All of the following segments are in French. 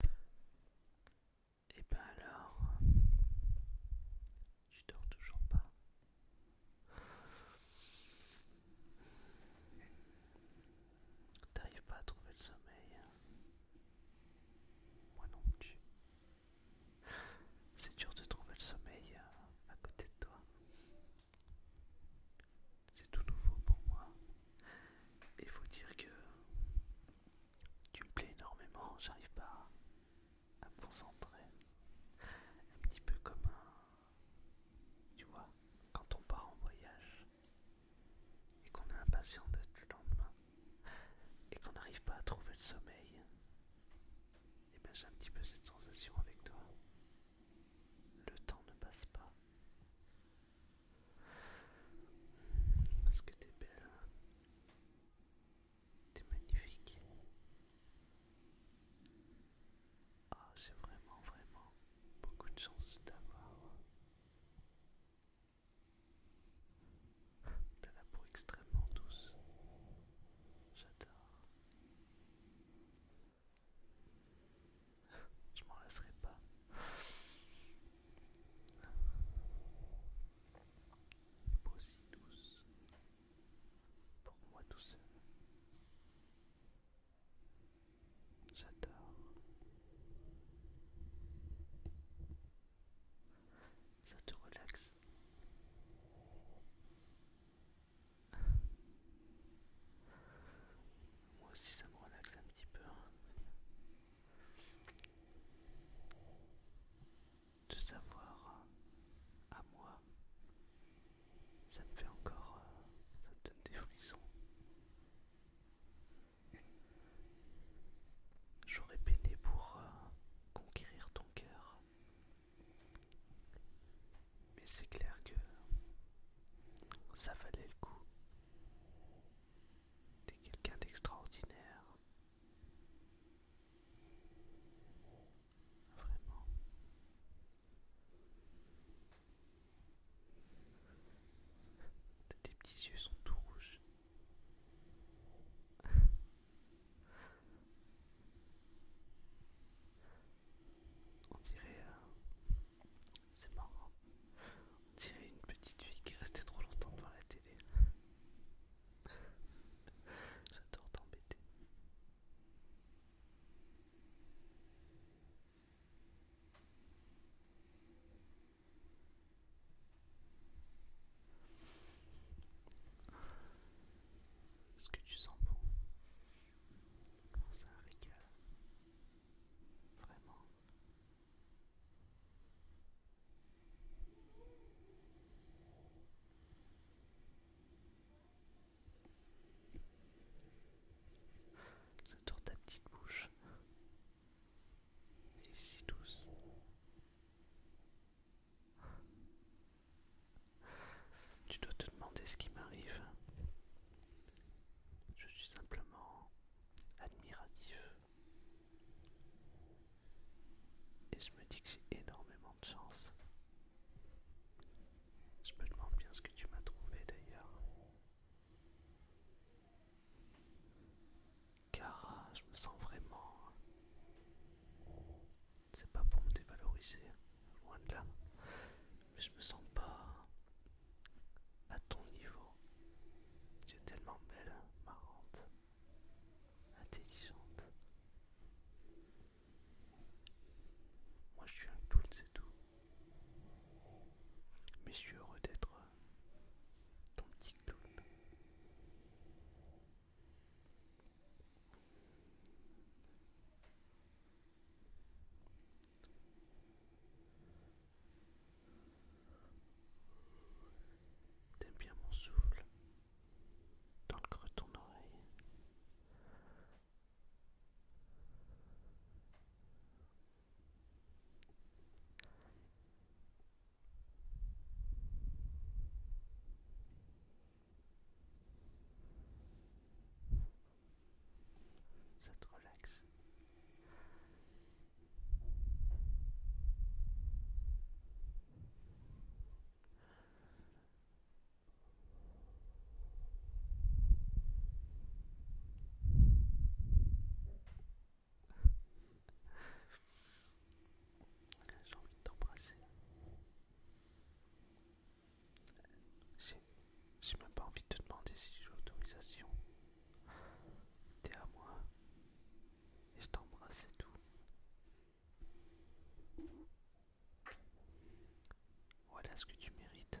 Et eh ben alors, tu dors toujours pas. T'arrives pas à trouver le sommeil. Moi non plus. C'est dur de trouver le sommeil euh, à côté de toi. C'est tout nouveau pour moi. Et faut dire que tu me plais énormément, j'arrive pas à me concentrer. Un petit peu comme un... Tu vois, quand on part en voyage et qu'on est impatient d'être le lendemain et qu'on n'arrive pas à trouver le sommeil, et eh bien j'ai un petit peu cette sensation avec toi. Le temps ne passe pas. Est-ce que t'es belle hein T'es magnifique. Ah, j'ai vraiment, vraiment beaucoup de chance d'avoir. T'as la peau extrêmement douce. J'adore. Je m'en lasserai pas. Aussi douce. Pour moi tout seul. J'adore. Ça te relaxe. Moi aussi ça me relaxe un petit peu. Hein. De savoir euh, à moi, ça me fait encore, euh, ça me donne des frissons. J'aurais peiné pour euh, conquérir ton cœur. Mais c'est clair que ça valait le coup. T'es quelqu'un d'extraordinaire. Vraiment. Tes petits yeux sont tout rouges. On dirait un. Euh, c'est marrant. On une petite fille qui restait trop longtemps devant la télé. J'adore t'embêter. Est-ce que tu sens bon C'est un régal. Vraiment. Ça tourne ta petite bouche. Et si douce. Tu dois te demander ce qui m'arrive. Je suis simplement admiratif. Et je me dis que j'ai énormément de chance. Je me demande bien ce que tu m'as trouvé d'ailleurs. Car euh, je me sens vraiment... C'est pas pour me dévaloriser, loin de là. Mais je me sens pas à ton niveau. Tu es tellement belle, marrante, intelligente. Moi je suis un clown, c'est tout. Mais je suis heureux d'être euh, ton petit clown. T'aimes bien mon souffle dans le creux de ton oreille ça te relaxe. J'ai envie de t'embrasser. J'ai même pas envie de te demander si j'ai l'autorisation. T'es à moi. Et je t'embrasse et tout. Voilà ce que tu mérites.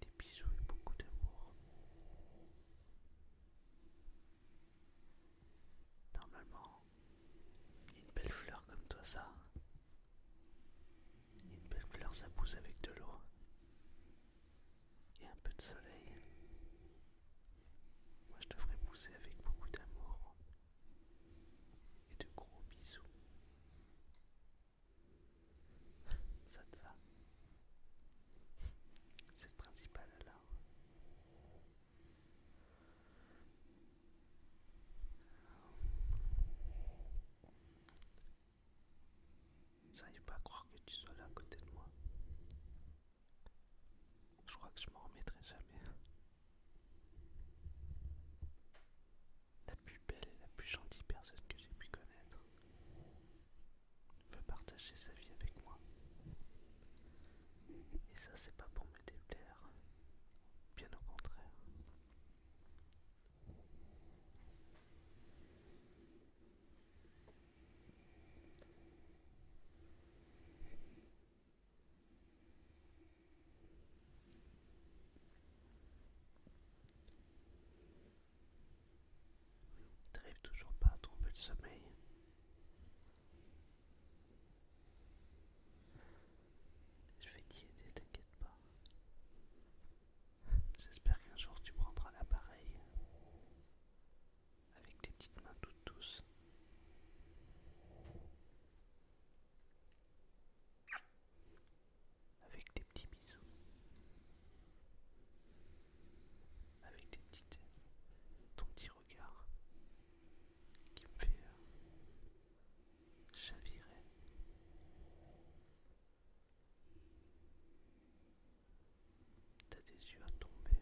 Des bisous et beaucoup d'amour. Normalement, une belle fleur comme toi, ça. Une belle fleur, ça pousse avec de l'eau et un peu de soleil. Moi, je te pousser avec beaucoup d'amour et de gros bisous. Ça te va C'est le principal alors. J'arrive pas à croire que tu sois là à côté de moi. Je crois que je m'en remettrai jamais. La plus belle et la plus gentille personne que j'ai pu connaître veut partager sa vie avec moi. Et ça, c'est pas pour me déplaire, Bien au contraire. Trêve toujours pas à trouver le sommeil. Je vais t'y aider, t'inquiète pas. J'espère qu'un jour tu prendras l'appareil avec tes petites mains toutes douces. Avec tes petits bisous. Avec tes petits, ton petit regard qui me fait euh, chavirer. T'as des yeux à tomber.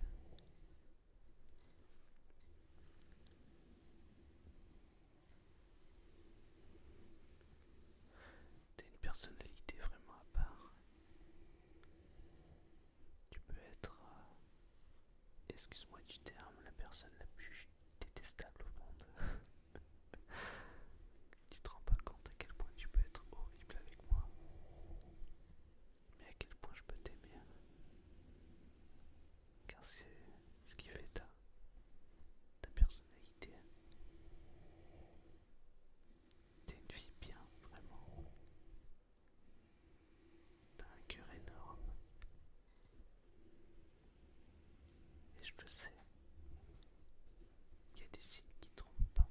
T'as une personnalité vraiment à part tu peux être, euh, excuse-moi du terme, la personne la plus détestable au monde. tu te rends pas compte à quel point tu peux être horrible avec moi, mais à quel point je peux t'aimer. Hein. Car c'est ce qui fait ta, ta personnalité. Hein. T'es une fille bien, vraiment. T'as un cœur énorme. Et je le sais. Il y a des signes qui trompent pas.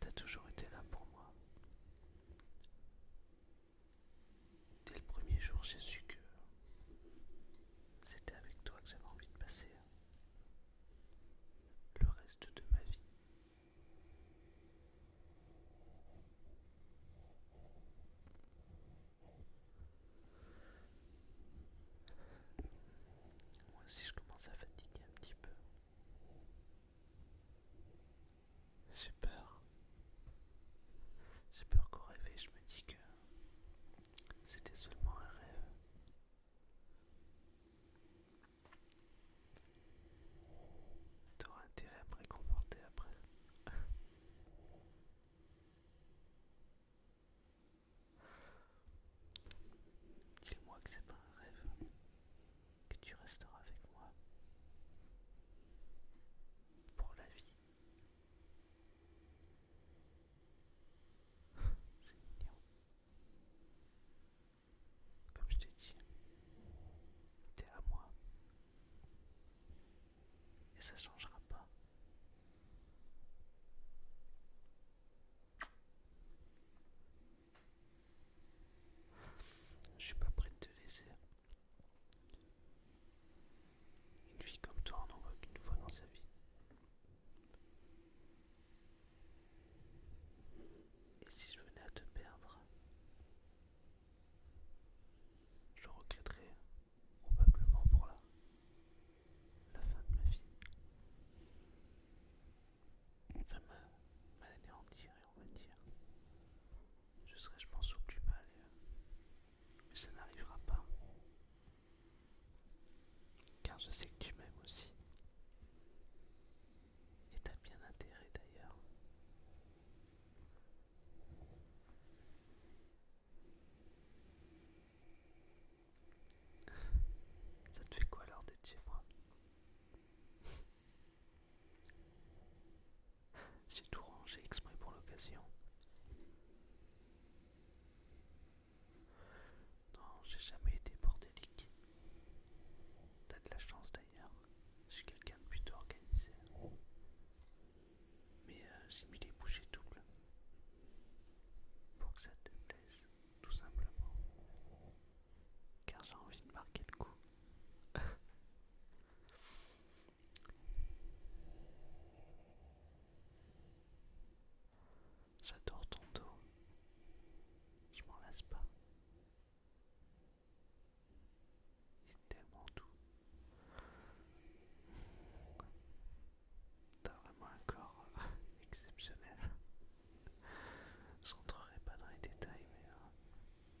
T'as toujours été là pour moi. Dès le premier jour, j'ai su que c'était avec toi que j'avais envie de passer hein, le reste de ma vie. Moi aussi je commence à fatiguer un petit peu. J'ai peur. J'ai peur qu'au réveil je me dis que c'était seulement un rêve. T'auras intérêt à me réconforter après. Dis-moi que c'est pas un rêve, que tu resteras avec moi pour la vie. C'est Comme je t'ai dit, t'es à moi. Et ça changera pas. Je suis pas prêt de te laisser. Une fille comme toi, on n'en qu'une fois dans sa vie. Et si je venais à te perdre, je regretterais probablement pour la, la fin de ma vie. Ça m'a ma on va dire. Je serais, je pense, au plus mal. Euh, mais ça n'arrivera pas. Car je sais que tu m'aimes aussi. Et t'as bien intérêt d'ailleurs. Ça te fait quoi alors d'être chez moi j'ai tout rangé exprès pour l'occasion. Non, j'ai jamais été bordélique. T'as de la chance d'ailleurs. Je suis quelqu'un de plutôt organisé. Mais euh, j'ai mis des bouchées doubles. Pour que ça te plaise, tout simplement. Car j'ai envie de marquer le coup. J'adore ton dos. Je m'en lasse pas. C'est tellement doux. T'as vraiment un corps euh, exceptionnel. Je rentrerai pas dans les détails, mais euh,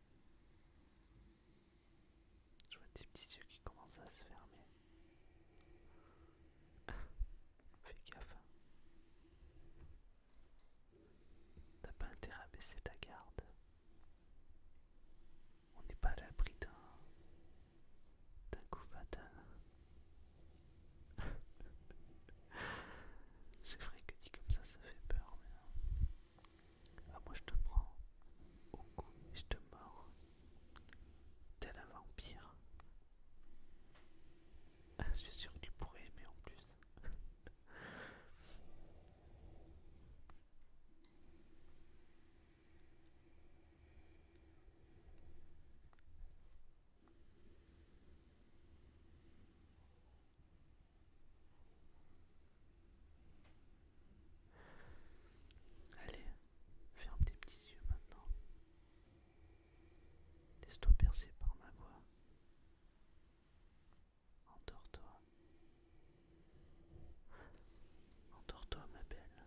Je vois tes petits yeux qui commencent à se fermer. Fais gaffe. Hein. T'as pas intérêt à baisser ta garde. On n'est pas à l'abri d'un coup fatal. C'est vrai que dit comme ça, ça fait peur, mais. Hein. Ah, moi je te prends au cou je te mords. Tel un vampire. je suis sûr que tu pourrais aimer en plus. Allez, ferme tes petits yeux maintenant. Laisse-toi percer par ma voix. Endors-toi. Endors-toi, ma belle.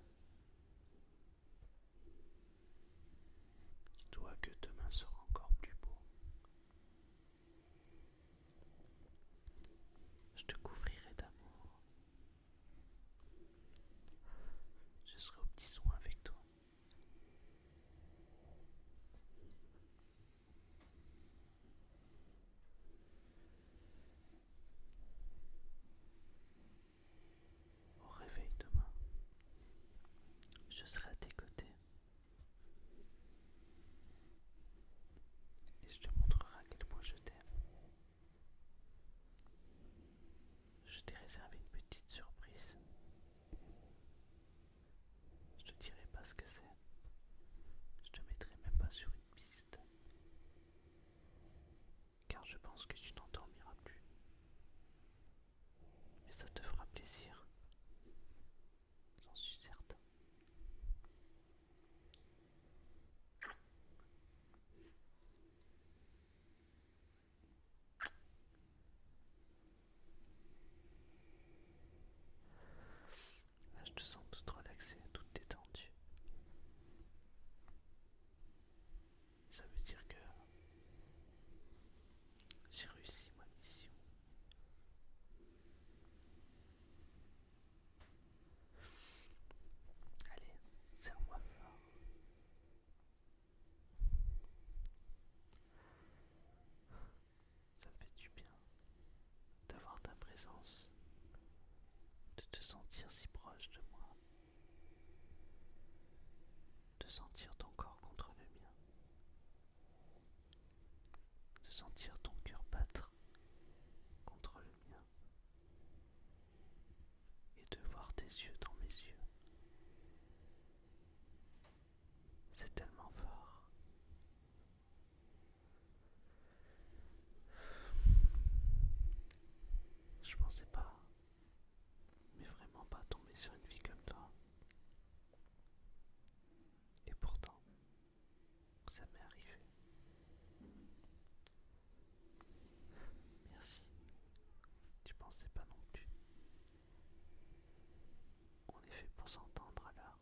Dis-toi que demain sera encore plus beau. Je te couvrirai d'amour. Je serai au petit soin avec toi. Au réveil demain, je serai à tes côtés et je te montrerai à quel point je t'aime. Je t'ai réservé une petite surprise. Je te dirai pas ce que c'est. Je te mettrai même pas sur une piste. Car je pense que tu n'endormiras plus. Mais ça te fera plaisir. J'en suis certain. je te sens toute relaxée, toute détendue. Ça veut dire que j'ai réussi ma mission. Allez, serre-moi fort. Ça me fait du bien d'avoir ta présence, de te sentir si proche de moi de sentir ton corps contre le mien, de sentir ton cœur battre contre le mien, et de voir tes yeux dans mes yeux. C'est tellement fort. Je pensais pas, mais vraiment pas tomber sur une vie comme toi. Et pourtant, ça m'est arrivé. Merci. Tu pensais pas non plus. On est fait pour s'entendre alors.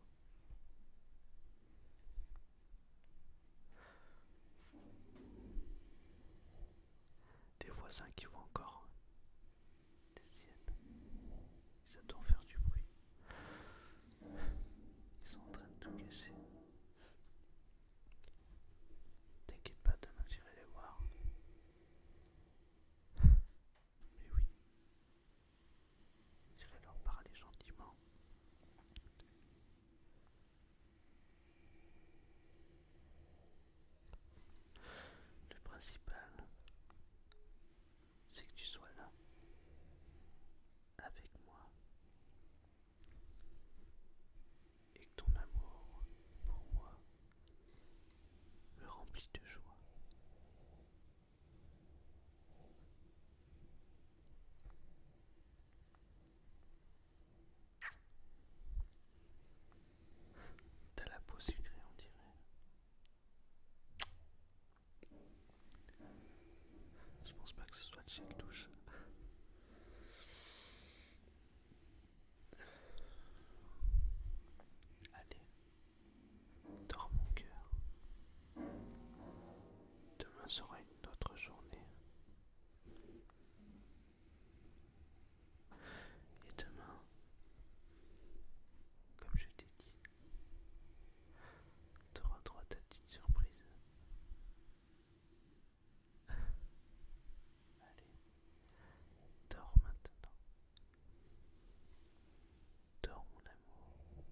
Des voisins qui vont encore des siennes, Ils adorent faire du bruit. Ils sont en train de tout cacher. T'inquiète pas, demain j'irai les voir. Mais oui, j'irai leur parler gentiment. Le principal, c'est que tu sois là, avec moi, et que ton amour pour moi me remplit de joie. T'as la peau sucrée, on dirait. Je pense pas que ce soit de chez le Allez, dors mon cœur. Demain sera une autre journée. Et demain, comme je t'ai dit, t'auras droit à ta petite surprise. Allez, dors maintenant. Dors mon amour.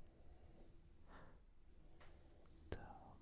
Dors.